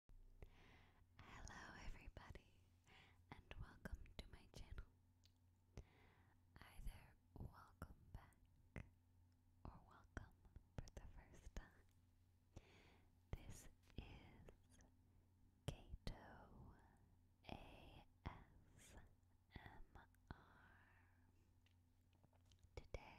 Hello, everybody, and welcome to my channel. Either welcome back or welcome for the first time. This is Kato ASMR. Today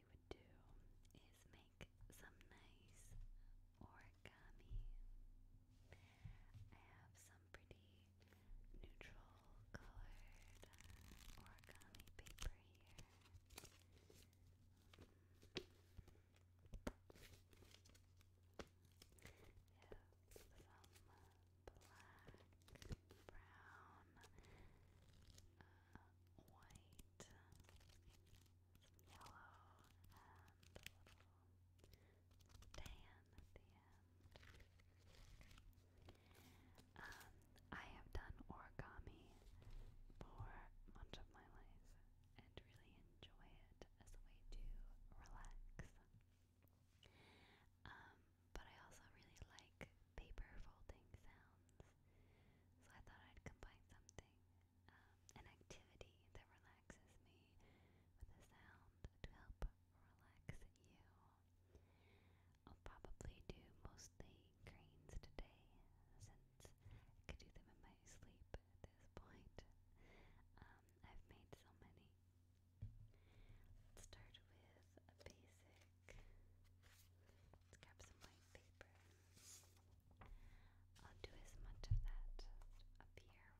we would do is make some nice origami. I have some pretty neutral colored uh, origami paper here. some black, brown, uh, white, white, some yellow, and a little tan at the end. Um, I have done origami for much of my life and really enjoy it as a way to relax. Um, but I also really like paper folding sounds. So I thought I'd combine something, um, an activity that relaxes me with a sound to help relax you. I'll probably do mostly cranes today since I could do them in my sleep at this point. Um, I've made so many. start with a basic back. Let's grab some white paper. I'll do as much of that up here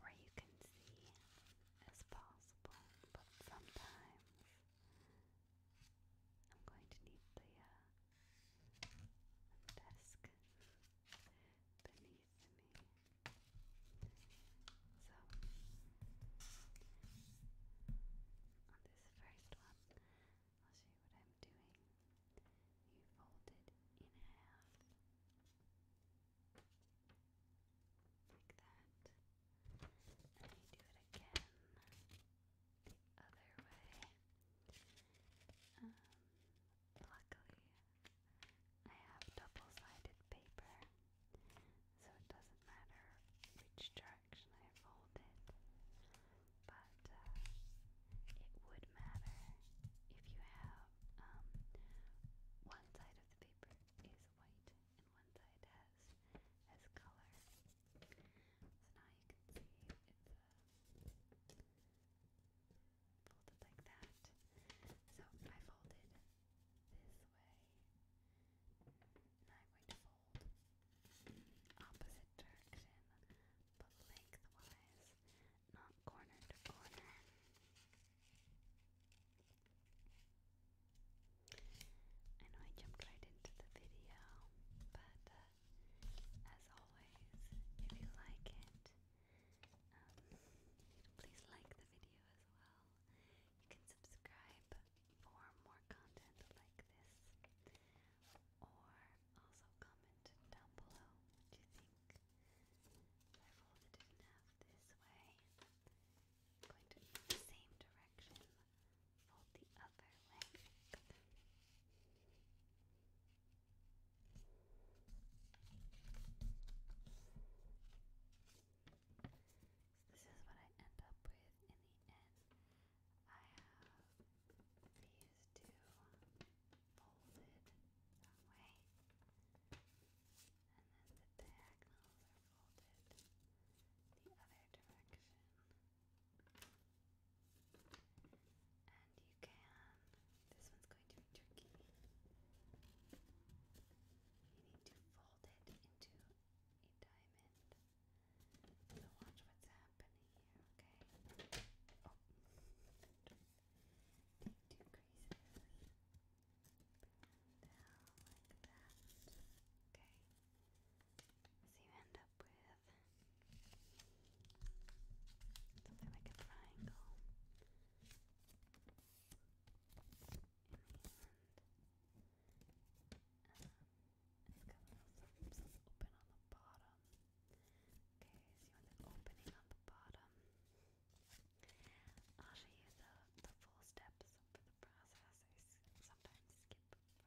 where you can see as possible, but sometimes I'm going to need the uh, desk beneath me. So, on this first one, I'll show what I'm doing. You fold in half like that. And you do it again the other way. Um, luckily, I have double sided paper, so it doesn't matter which direction I fold But uh, it would matter if you have um, one side of the paper is white and one side has has color. So now you can see it's uh, folded like that. So I folded this way. Now I'm going to fold fold opposite direction but lengthwise, not corner to corner. I know I jumped right into the video, but uh, as always, if you like it, um, please like the video as well. You can subscribe for more content like this, or also comment down below what you think. I it in half this way. going to the same direction, fold the other length. So this is what I end up with in the end. I have these two folded that way, and then the diagonals are folded the other direction. And you can, this one's going to be tricky. You need to fold it into a diamond so watch what's happening here, okay? Oh, take two down like that, okay? So you end up with something like a triangle in the end. Um, it Okay, so you want the opening on the bottom. I'll show you the, the full steps for the process. I sometimes skip part of it.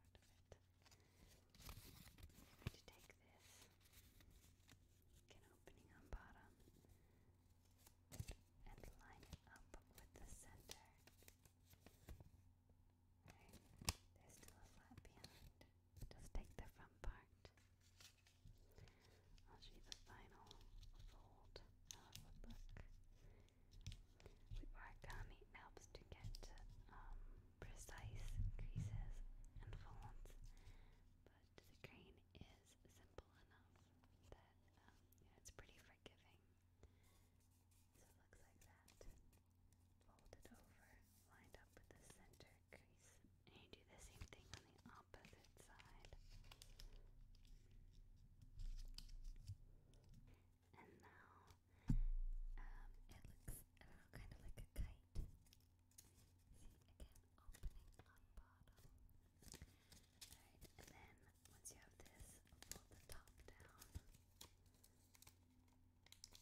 I'm to take this, get an opening on bottom, and line it up with the center there's still a flap behind. Just take the front part. I'll show you the final fold. How it would look. origami, helps to get um, precise creases and folds, but the grain is simple enough that um, it's pretty forgiving. So it looks like that. Fold it over, lined up with the center crease. And you do the same thing on the opposite side. And now um, it looks kind of like a kite. See, again, opening on bottom. Alright, and then once you have this, fold the top down. Crease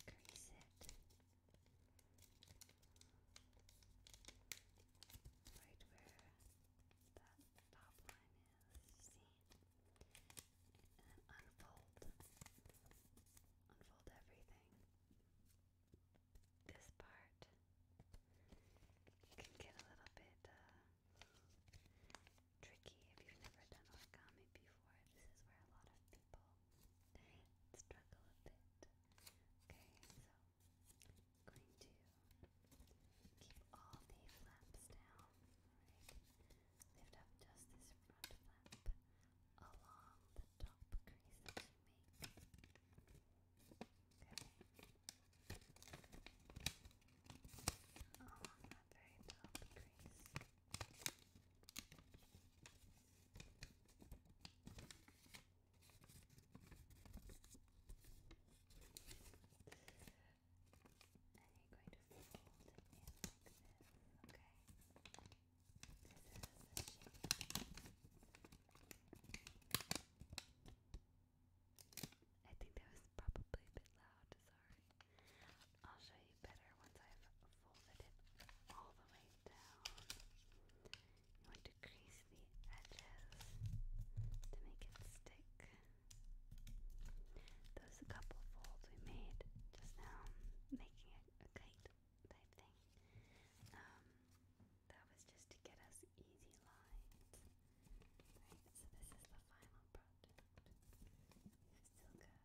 it right where that top line is, see? And unfold. Unfold everything. This part can get a little bit uh, tricky if you've never done origami before. This is where a lot of people struggle a bit. Okay, so going to keep all the flaps down. lift up just this front flap along the top crease that make. Okay. Oh, that very top crease. And you're going to fold it in like this, okay? This is the shape. I think that was probably a bit loud sorry. I'll show you better once I've folded it all the way down. You want to crease the edges to make it stick. Those couple folds we made just now, making a kite type thing, um, that was just to get us easy lines. Right, so this is the final project. we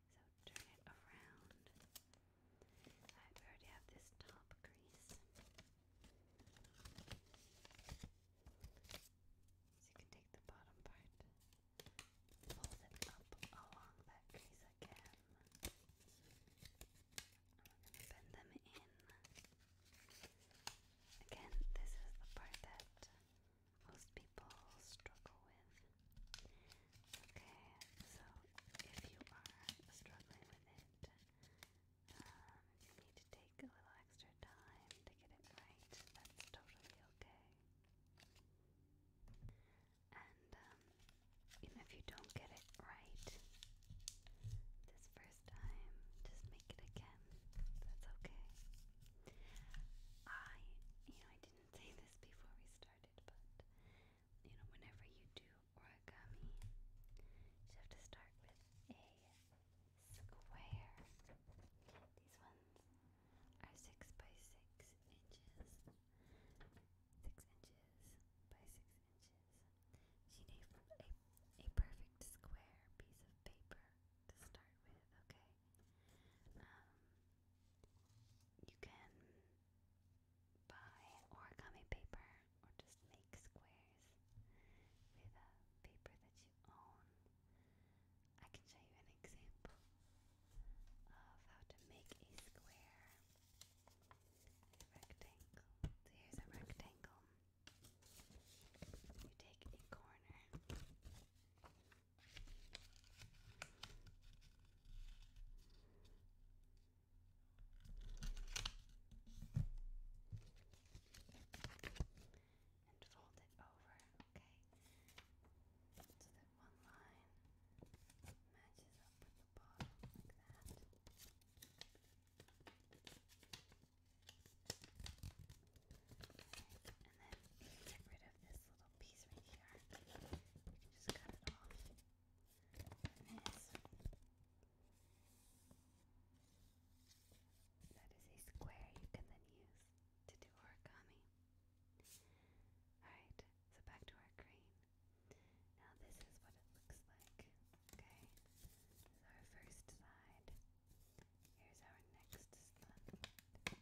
so turn it around. we already have this top crease. So you can take the bottom part, fold it up along that crease again. bend them in. Again, this is the part that most people people struggle with. Okay, so if you are struggling with it, um, you need to take a little extra time to get it right. That's totally okay. And um, even if you don't get it right this first time, just make it again. That's okay. I, you know, I didn't say this before we started, started, but you know, whenever you do origami, you have to start with a square. These ones are six by six inches, six inches by six inches. She needs a, perfect square piece of paper to start with, okay? Um, you can buy origami paper or just make squares with a paper that you own. I can show you an example of how to make a square rectangle. So here's a rectangle. You take a corner and fold it over, okay? So that one line matches up with the bottom like that. and then get rid of this little little piece right here. You just cut it off. this. That is a square you can then use to do origami. Alright, so back to our crane. Now this is what it looks like. Okay, our first side. Here's our next slide.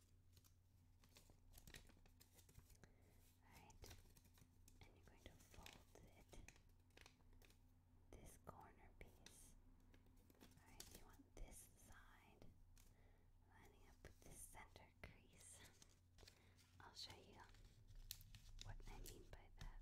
Alright, and you're going to fold it, this corner piece. Alright, you want this side lining up with this center crease. I'll show you what I mean by that.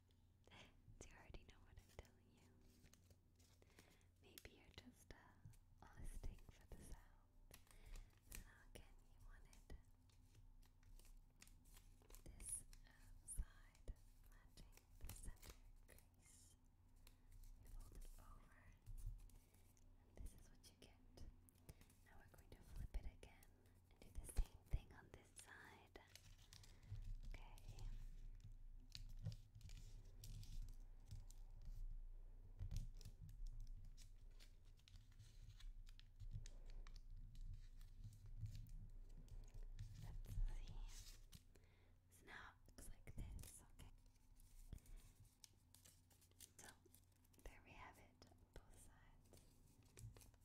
Do you already know what I'm telling you? Maybe you're just uh, listening for the sound. again, you wanted this outside uh, matching the center crease. You fold it over, and this is what you get. Now we're going to flip it again do the same thing on this side. Okay. Let's see. So now it looks like this, okay? So there we have it, both sides.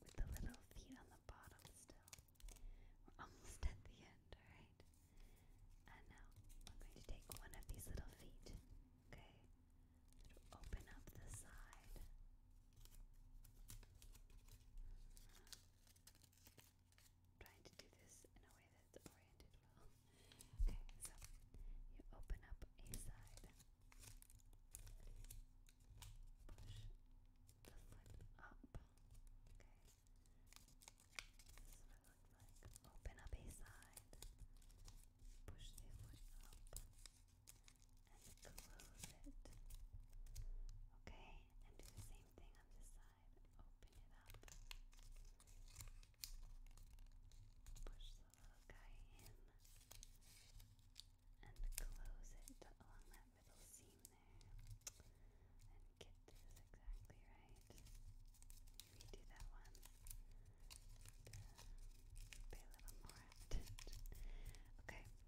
With the little feet on the bottom still. We're almost at the end, alright? And now I'm going to take one of these little feet, okay? To open up the side. trying to do this in a way that's oriented well. Okay, so you open up a side push the lid up. Okay. This is what it looks like. Open up a side. Push the lid up. And close it. Okay, and do the same thing on this side. Open it up. Push the little guy in and close it along that middle seam there and get this exactly right. Redo that one. And, a little more attention. okay, so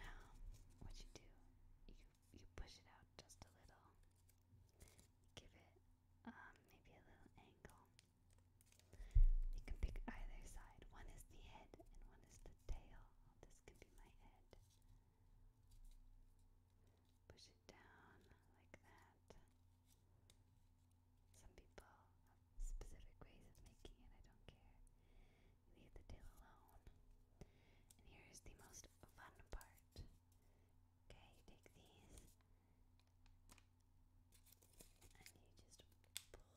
now what you do, you you push it out just a little. Give it um, maybe a little angle. You can pick either side. One is the head and one is the tail this could be my head. Push it down like that. Some people have specific ways of making it, I don't care. Leave the tail alone. And here is the most fun part. Okay, you take these and you just pull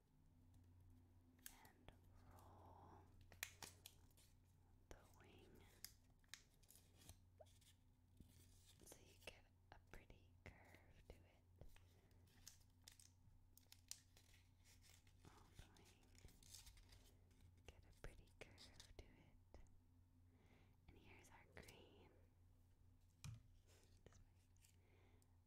and roll the wing so you get a pretty curve to it. Roll the wing, get a pretty curve to it. And here's our cream. Alright. Okay.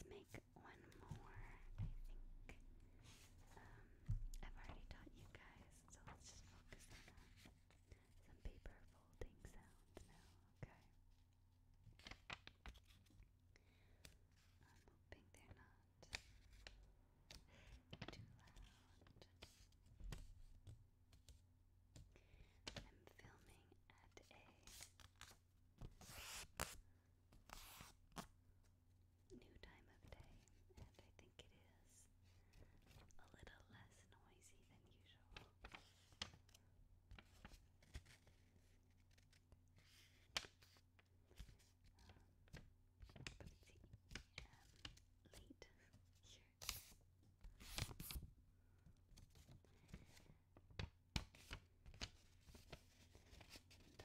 So let's make one more, I think. Um, I've already taught you guys, so let's just focus on uh, Some paper folding sounds now, okay? I'm hoping they're not too loud. I'm filming at a new time of day, and I think it is a little less noisy than usual. Um, but it's um, late here and, uh, doing this is, is really relaxing me. I'm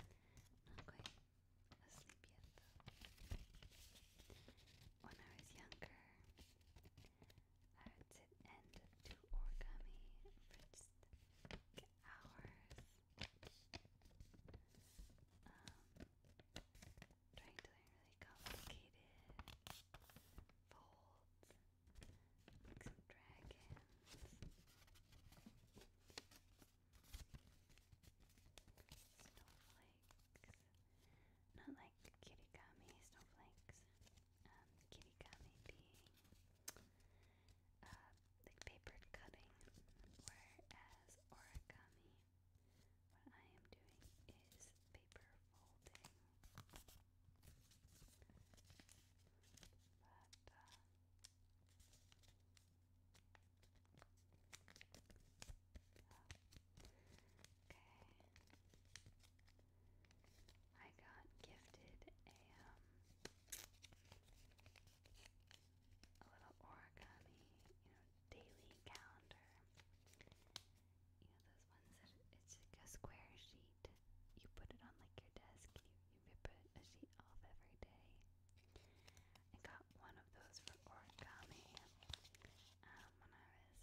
getting ready for bed. Um, asleep yet When I was younger, I would sit and do origami for just hours. Um, trying to learn really complicated folds, like some dragons. Snowflakes. Not like kirigami snowflakes. Um, kirigami being uh, paper cutting, whereas origami, what I am doing is paper folding. Uh, Okay. I got gifted a um, a little origami, you daily calendar. You know those ones that it's like a square sheet. You put it on like your desk. You you rip a sheet off every day, I got one of those for origami um, when I was in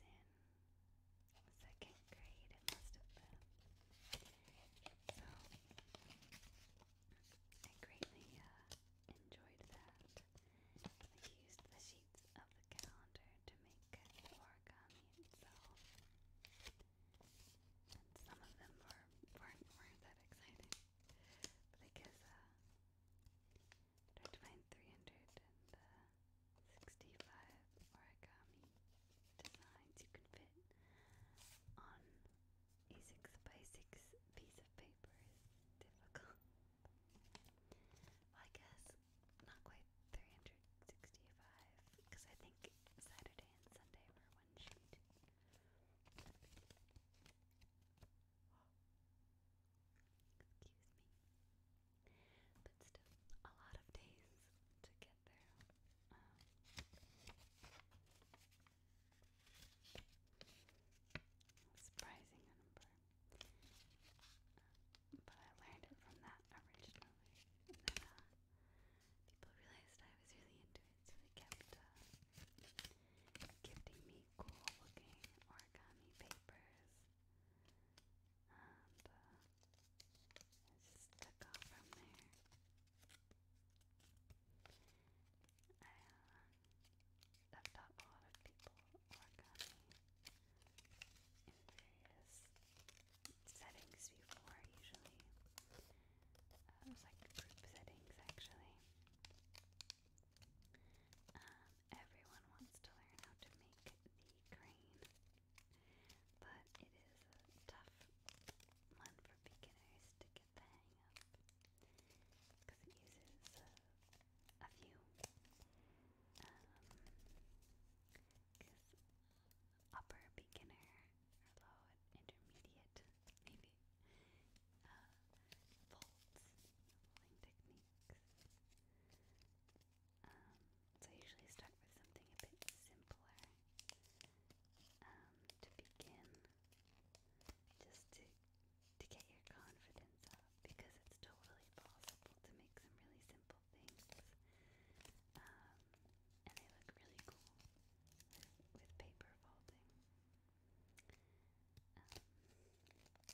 second grade. It must have been. So I greatly uh, enjoyed that. I used the sheets of the calendar to make origami itself. some of them were, not weren't that exciting. But I uh, Find 365 uh, origami designs you can fit on a 6 by 6 piece of paper is difficult. I guess not quite 365 because I think Saturday and Sunday were one sheet. Excuse me. But still, a lot of days to get there. Um, surprising number. Um, but I learned it from that originally. Uh, people realized I was really into it, so they kept uh, gifting me cool looking origami papers. And uh, just took off from there. I, I've taught a lot of people origami in various settings before, usually. Uh, it was like group settings, actually. Um, everyone wants to learn how to make the crane, but it is a tough one for beginners to get the hang of because it uses a few. Um, upper beginner or low intermediate, maybe by uh, folds, folding techniques. Um, so I usually start with something a bit simpler um, to begin, just to to get your confidence up, because it's totally possible to make some really simple things, um, and they look really cool with paper folding. Um, and work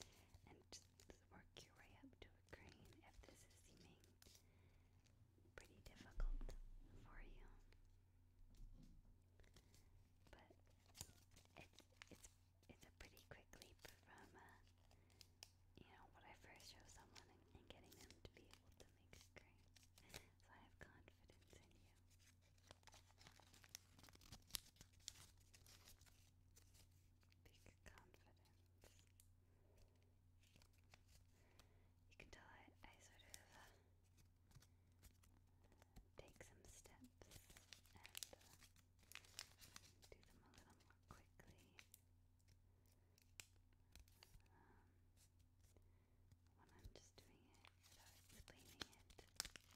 your way up to a green if this is seeming pretty difficult for you. But it's it's it's a pretty quick leap from uh, you know what I first show someone and, getting them to be able to make a green. So I have confidence in you. Big confidence. You can tell I, sort of uh, take some steps and uh, do them a little more quickly. Um, when I'm just doing it without explaining it,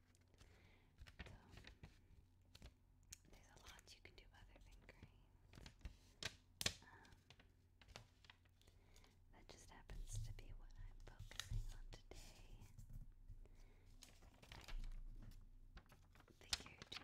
So, um, there's a lot you can do other than grains. Um, that just happens to be what I'm focusing on today. I figured doing uh, one would be enough for 30 minutes.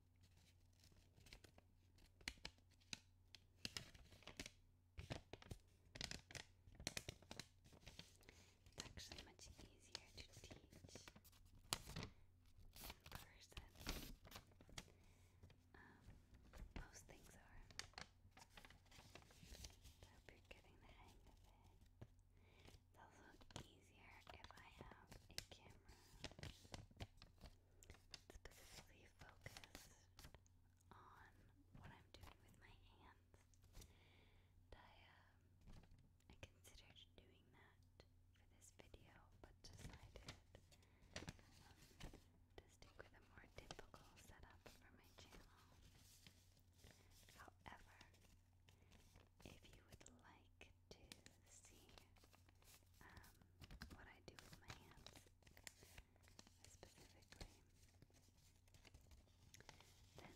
It's actually much easier to teach in person. Um, most things are. I hope you're getting the hang of it. It's also easier if I have a camera specifically focus on what I'm doing with my hands. I, um, considered doing that for this video, but decided um, to stick with a more typical setup for my channel. However, if you would like to see um, what I do with my hands specifically, then let me know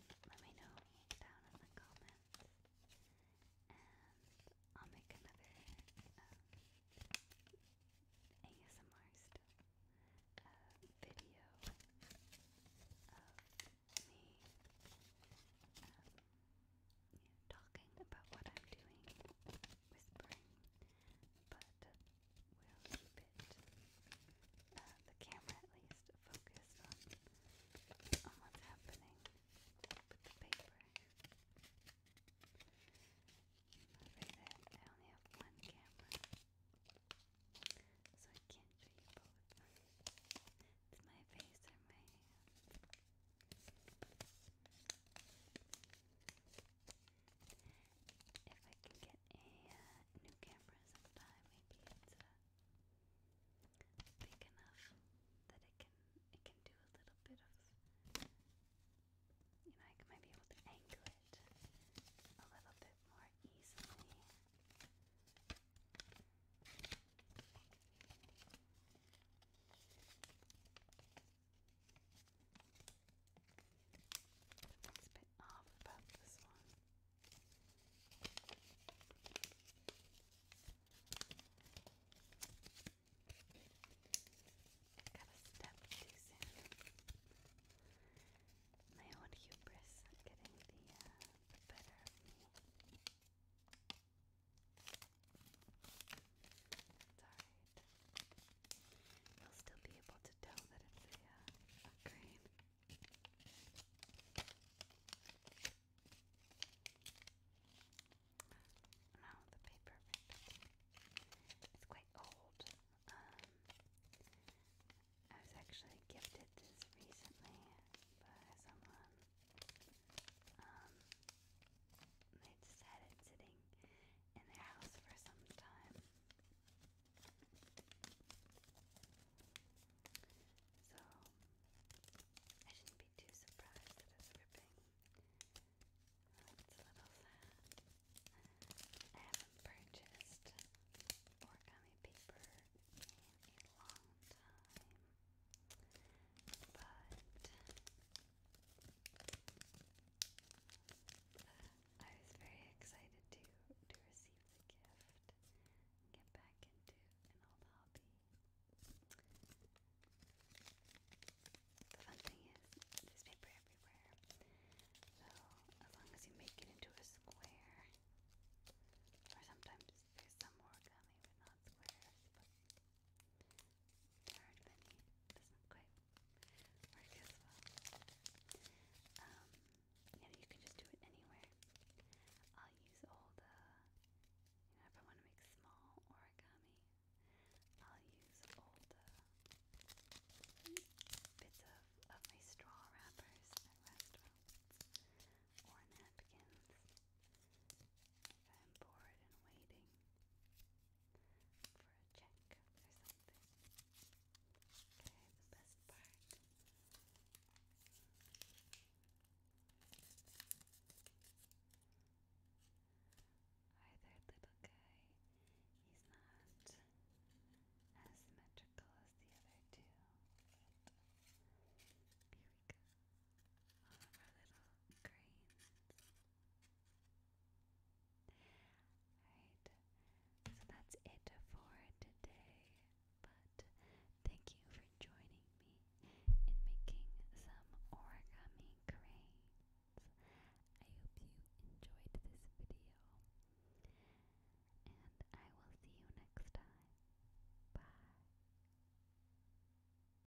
down in the comments and I'll make another um, ASMR uh, video of me um, talking about what I'm doing, whispering, but we'll keep it, uh, the camera at least, focused on, on what's happening with the paper. I only have one camera, so I can't show you both. It's my face or my hands. If I can get a uh, new camera sometime, maybe it's uh, big enough that it can it can do a little bit of you know I might be able to angle it a little bit more easily. What's a bit off about this one? Got a step too My own hubris getting uh, the better of me. It's alright. You'll still be able to tell that it's a, uh, a the paper It's quite old. Um, I was actually gifted this recently by someone um, they just had it sitting in their house for some time. So, I shouldn't be too surprised that it's ripping. It's a little sad. I haven't purchased origami paper in a long time, but I was very excited to to receive the gift get back into an old hobby. The fun thing is there's paper everywhere. So as long as you make it into a square or sometimes there's some origami with not squares, hard um, you can just do it anywhere. I'll use all the, if I want to make small origami, I'll use all the bits of, of my straw wrappers or napkins. I'm bored and waiting for a check or something. Okay, the best part. Hi little guy. He's not as symmetrical as the other two. here we go. All of our little grains so that's it for today. But thank you for joining me in making some origami cranes. I hope you enjoyed this video. And I will see you next time. Bye.